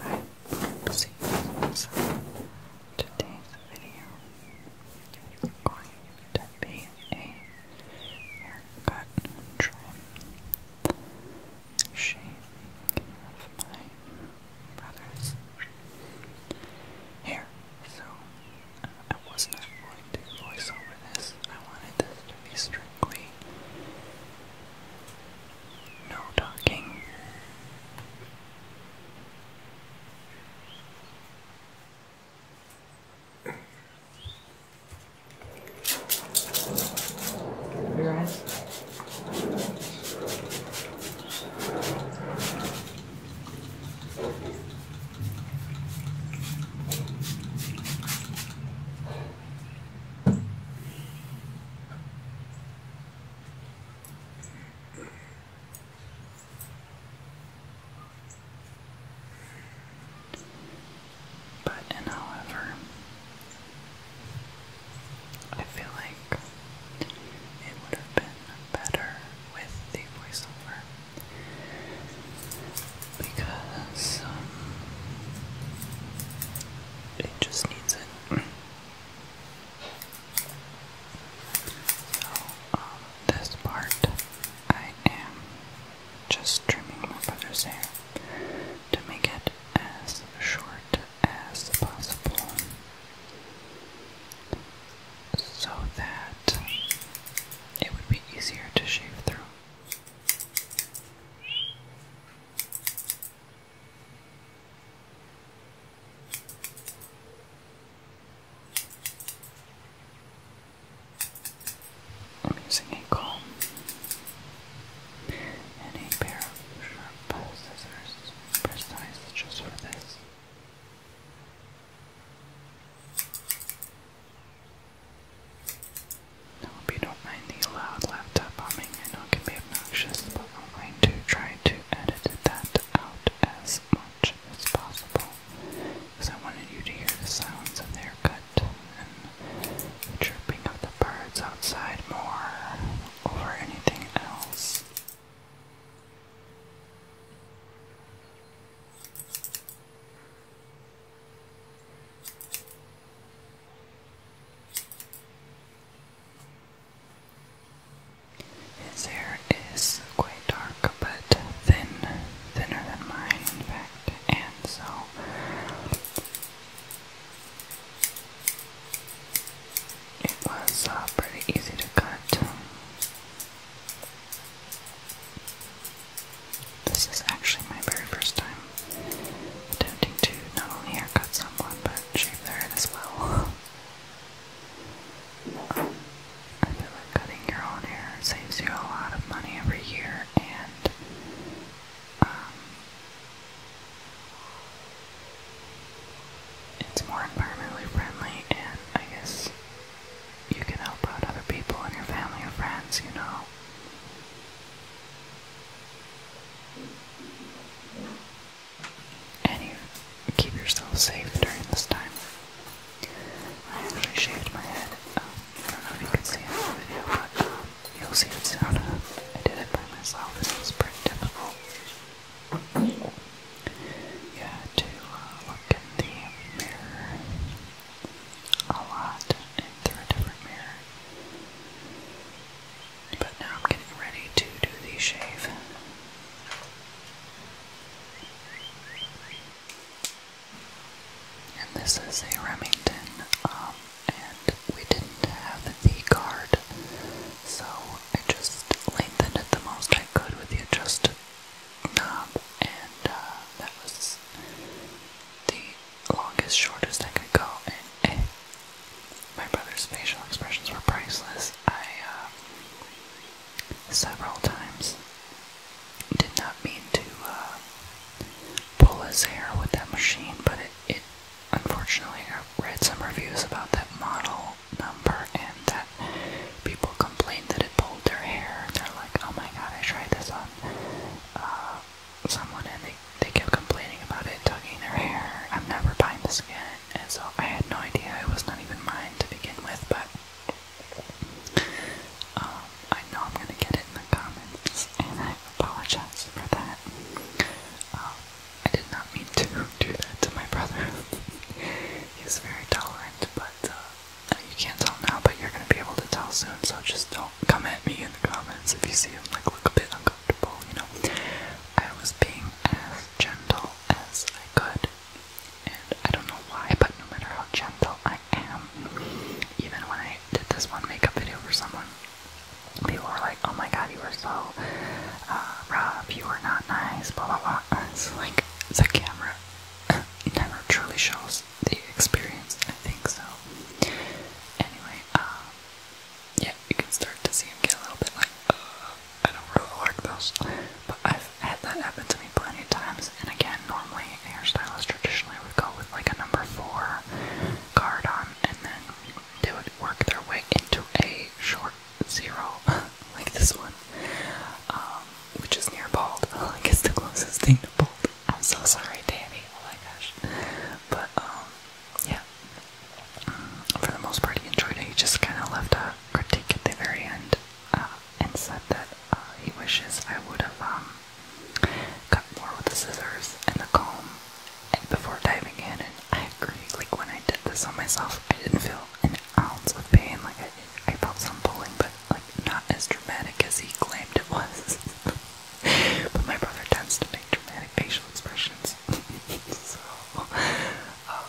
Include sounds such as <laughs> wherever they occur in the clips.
Hi, this today's video is going to be a haircut of my brother's hair. So, uh, I was not going to voice over this I wanted this to be strictly no talking. Cover your eyes. But and however, I feel like it would have been better with the voiceover because um, it just needs it. <clears throat> So, um, this part I am just trimming my brother's hair to make it as short as possible so that it would be easier to shave through. I'm using a comb and pair of sharp scissors, precise just for this. I hope you don't mind the loud laptop humming. I know it can be obnoxious, but I'm going to try to edit that out as much as possible. Because I wanted you to hear the sounds of the haircut and chirping of the birds outside more over anything else. His hair is quite dark but thin, thinner than mine, in fact, and so. It was uh, pretty easy to cut. This is actually my very first time attempting to not only haircut someone, but shave their head as well. <laughs> I feel like cutting your own hair saves you a lot of money every year, and um, it's more environmentally friendly, and I guess you can help out other people and your family or friends, you know. And you keep yourself safe during this time. I actually shaved my head. Um, I don't know if you can see it the video, but um, you'll see it soon. I did it by myself, and was pretty difficult. You to uh, in the mirror a lot and through a different mirror. But now I'm getting ready to do the shave. And this is a Remington, um, and we didn't have the guard, so I just lengthened it the most I could with the adjust and uh, that was the longest, shortest I could go. And eh, my brother's facial expressions were priceless. I uh, several times did not mean to uh, pull his hair with that machine, but it, unfortunately I read some reviews about that model number and people complained that it pulled their hair. They're like, oh my god, I tried this on uh, someone and they, they kept complaining about it tugging their hair. I'm never buying this again. And so I had no idea. It was not even mine to begin with, but um, I know I'm going to get it in the comments and I apologize for that. Um, I did not mean to do that to my brother. <laughs> He's very tolerant, but uh, you can't tell now, but you're gonna be able to tell soon, so just don't come at me in the comments if you see him like look a bit uncomfortable, you know. I was being as gentle as I could, and I don't know why, but no matter how gentle I am, even when I did this one makeup video for someone, people were like, "Oh my God, you were so uh, rough. You were not nice." Blah blah blah. <laughs> It's like the camera never truly shows the experience. I think so. Anyway, um, yeah, you can start to see him get a little bit like, uh, I don't really like this. But I've had that happen to me plenty of times. And again, normally a hairstylist traditionally would go with like a number four card on, and then they would work their way into a short zero, <laughs> like this one, um, which is near bald. I guess <laughs> the closest thing to bald. I'm so sorry, Danny. Oh my gosh. But um, yeah. Mm, for the most part, he enjoyed it. He just kind of left a critique at the very end uh, and said that uh, he wishes I would have um, cut more with the scissors and the comb and before diving in. And I agree. Like when I did this on myself, I didn't feel an ounce of pain. Like I I felt some pulling, but like not as dramatic as he claimed it was. <laughs> but my brother tends to make dramatic facial expressions, <laughs> so um,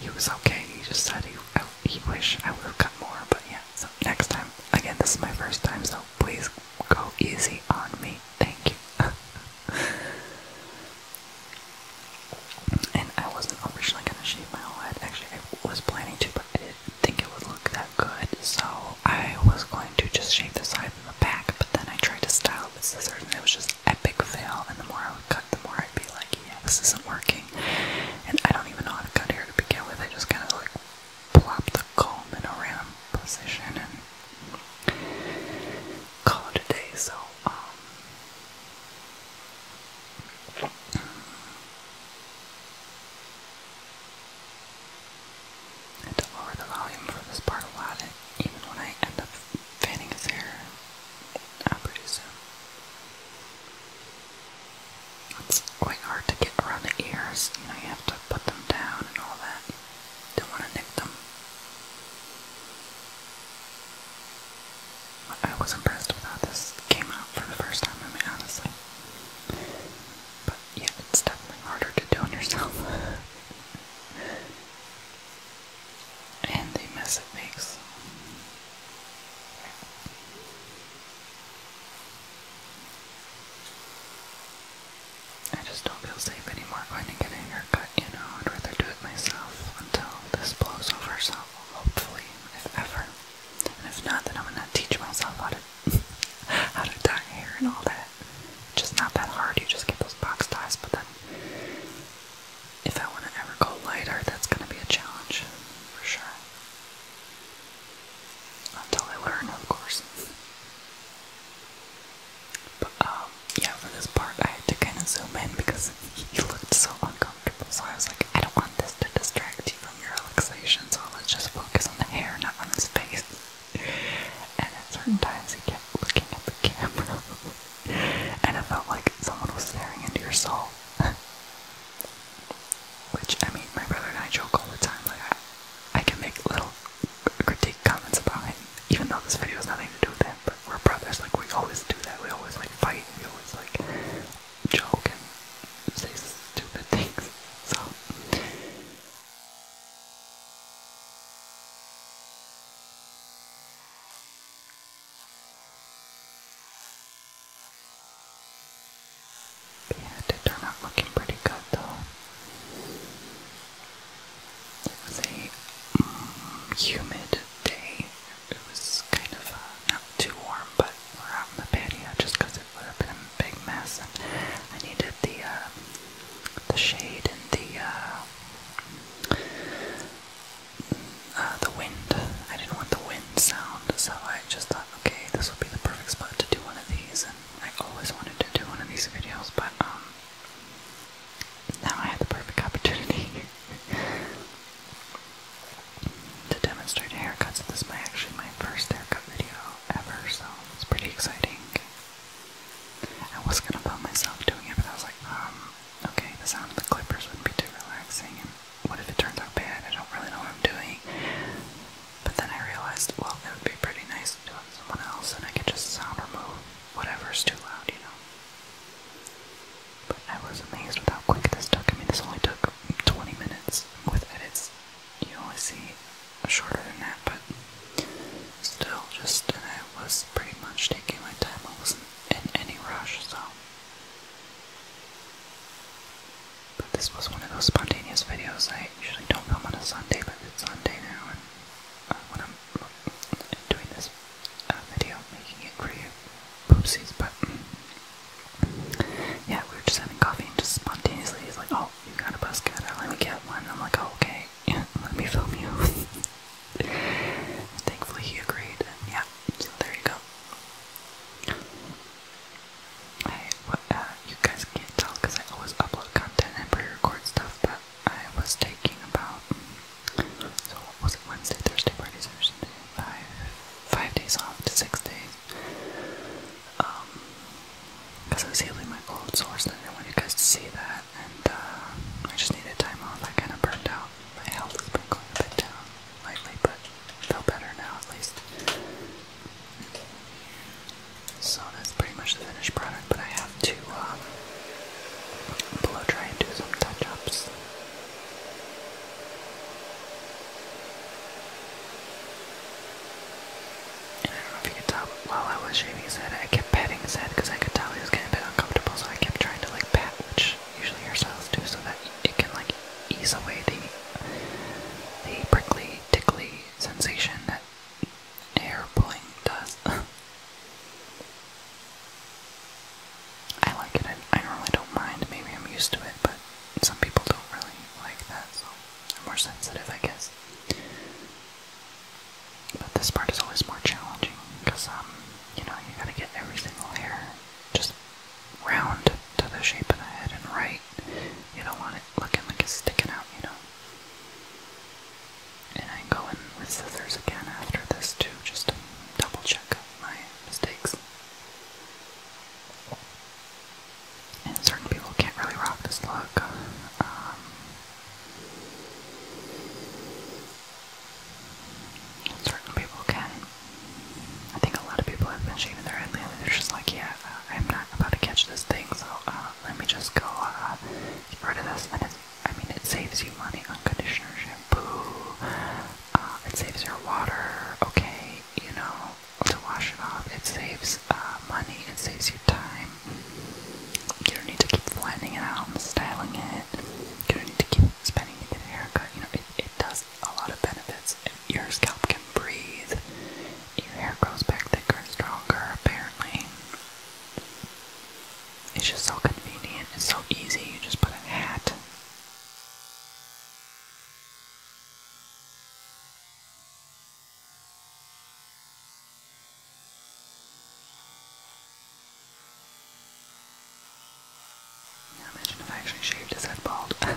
he was okay. He just said he I, he wished I would have cut more, but yeah. So next time, again, this is my first time, so please go easy on me. Thank you. <laughs> And I wasn't originally gonna shave my whole head. Actually, I was planning to, but I didn't think it would look that good. So I was going to just shave the side and the back, but then I tried to style it scissors, and it was just epic fail. And the more I would cut, the more I'd be like, yeah, this isn't working. And I don't even know how to cut here to begin with. I just kind of like plop the comb in a random position and call it a day. So um, I had to lower the volume for this part a lot, even when I end up fanning his hair out pretty soon. It's quite hard to get around the ears, you know, you have to put them down and all that. Don't want to nick them. I was impressed with how this came out for the first time, I mean, honestly. But yeah, it's definitely harder to do on yourself. <laughs> and the mess it makes. I just don't feel safe anymore going to get in you know, I'd rather do it myself until this blows over, so hopefully, if ever. And if not, then I'm gonna teach myself how to <laughs> how to dye hair and all that. It's just not that hard, you just get those box ties, but then if I wanna ever go lighter, that's gonna be a challenge for sure. Until I learn, of course. But um, yeah, for this part I had to kind of zoom in because he <laughs> looked so uncomfortable. So I was like, I don't want this to distract you from your relaxation, so let's just focus on the hair, not on his face. And at certain times he kept looking at the camera. <laughs> and it felt like someone was staring into your soul. <laughs> Which, I mean, my brother and I joke all the time, like I, I can make little critique comments about him even though this video has nothing to do with that, but we're brothers, like, we always do that, we always, like, fight, we always, like, joke and say stupid things, so... Yeah, did turn out looking pretty good though. It was a mm, humid day. It was kind of uh, not too warm, but we're out in the patio just because it would have been a big mess, and I needed the uh, the shade and the uh, the wind. I didn't want the wind sound, so I just thought, okay, this would be the perfect spot to do one of these. And I always wanted to do one of these videos, but um, now I have the perfect opportunity <laughs> to demonstrate haircuts. This is my, actually my first haircut video ever, so it's pretty exciting. I was gonna film myself doing it, but I was like, um, okay, the sound of the clippers would be too relaxing, what if it turns out bad? I don't really know what I'm doing. But then I realized, well, it would be pretty nice to it someone else, and I could just sound remove whatever's too loud, you know. But I was amazed with how quick this took. I mean, this only took 20 minutes with edits. You only see shorter than that, but still, just, and I was pretty much taking my time. I wasn't in any rush, so. But this was one of those spontaneous videos. I usually don't film on a Sunday, but it's Sunday now, and uh, when I'm doing this uh, video, making it for you. Oopsies, but mm. yeah, we were just having coffee and just spontaneously he's like, "Oh, you got a bus cutter? Let me get one." I'm like, oh, "Okay, yeah, <laughs> let me film you." <laughs> Thankfully, he agreed, and yeah, so there you go. Hey, uh, you guys can't tell because I always upload content and pre-record stuff, but I was taking about, so what was it, Wednesday, Thursday, Friday, Saturday, five, five days off to six days, um, because I was healing my cold sores and I didn't want you guys to see that, and, uh, I just needed time off, I kind of burned out, my health has been going a bit down lately, but feel better now, at least. So that's pretty much the finished product, but I have to um, blow dry and do some touch-ups. And I don't know if you could tell, while I was shaving his head, I kept petting his head because I could tell he was getting a bit uncomfortable, so I kept trying to like pat, which usually your hairstylists do, so that it can like ease away the the prickly, tickly sensation that airplane dust. <laughs> I like it. I, I normally don't mind. Maybe I'm used to it, but some people don't really like that, so I'm more sensitive, I guess. But this part is always more challenging because, um, you know, you gotta get every single hair just round to the shape of the head and right. You don't want it looking like it's sticking out, you know. And I am going with scissors again after this to just double check my mistakes. And certain people can't really rock this look. Um, certain people can. I think a lot of people have been shaving their head lately. They're just like, yeah, uh, I'm not about to catch this thing, so uh, let me just go uh, get rid of this. And I mean, it saves you money on conditioner, shampoo. Uh, it saves your water. Okay, you know, to wash it off. It saves uh, money. It saves you time. You don't need to keep planning it out and styling it. You don't need to keep spending to get a haircut. You know, it, it does a lot of benefits. Your scalp can breathe. Your hair grows back thicker and stronger, apparently. It's just so convenient, it's so easy, you just put a hat. imagine if I actually shaved his head bald. <laughs>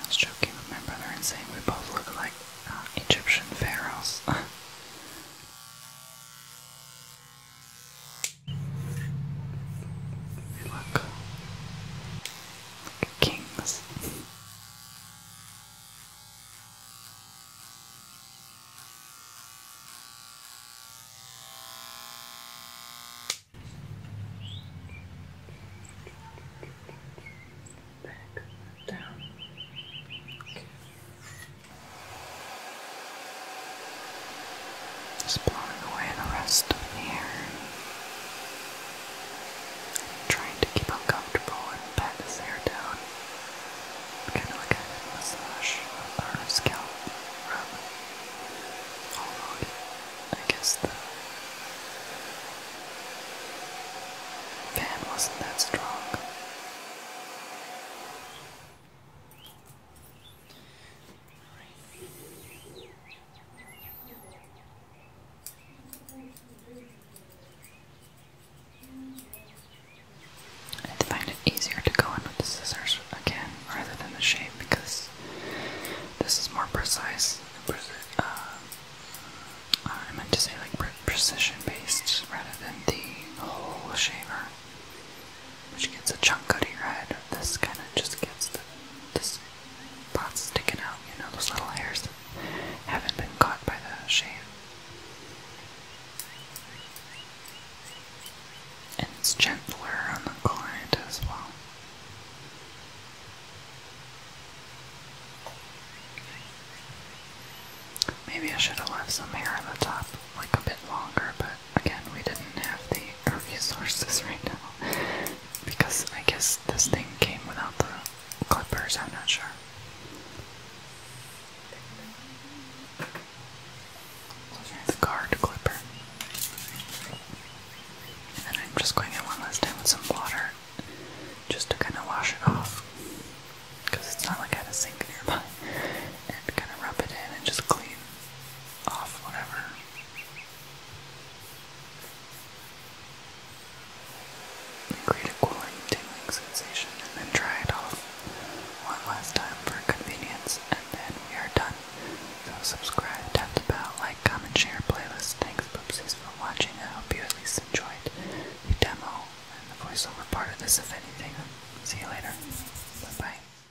I was joking with my brother and saying we both look like uh, Egyptian pharaohs. Look. <laughs> kings. Back down. Okay. Just blowing away the rest of the air. trying to keep uncomfortable and pat his hair down. Kind of like a massage or a scalp rub. Although, I guess the pan wasn't that strong i find it easier to go in with the scissors again rather than the shape because this is more precise. Uh, I meant to say like precision based rather than the whole shaver which gets a chunk out of your head. This kind of just gets the this part sticking out, you know, those little hairs that haven't been caught by the shave. And it's gentler on the client as well. Maybe I should have left some hair on the top, like a bit longer, but again, we didn't have the resources right now because I guess this thing came without the clippers, I'm not sure. The guard clipper. And I'm just going in one last time with some water just to kind of wash it off because it's not like I had a sink nearby <laughs> and kind of rub it in and just clean off whatever Create a cooling, tingling sensation and then dry it off one last time for convenience and then we are done. So subscribe, tap the bell, like, comment, share, playlist. Thanks, Boopsies, for watching. I hope you at least enjoyed the demo and the voiceover part of this, if anything. See you later. Bye-bye.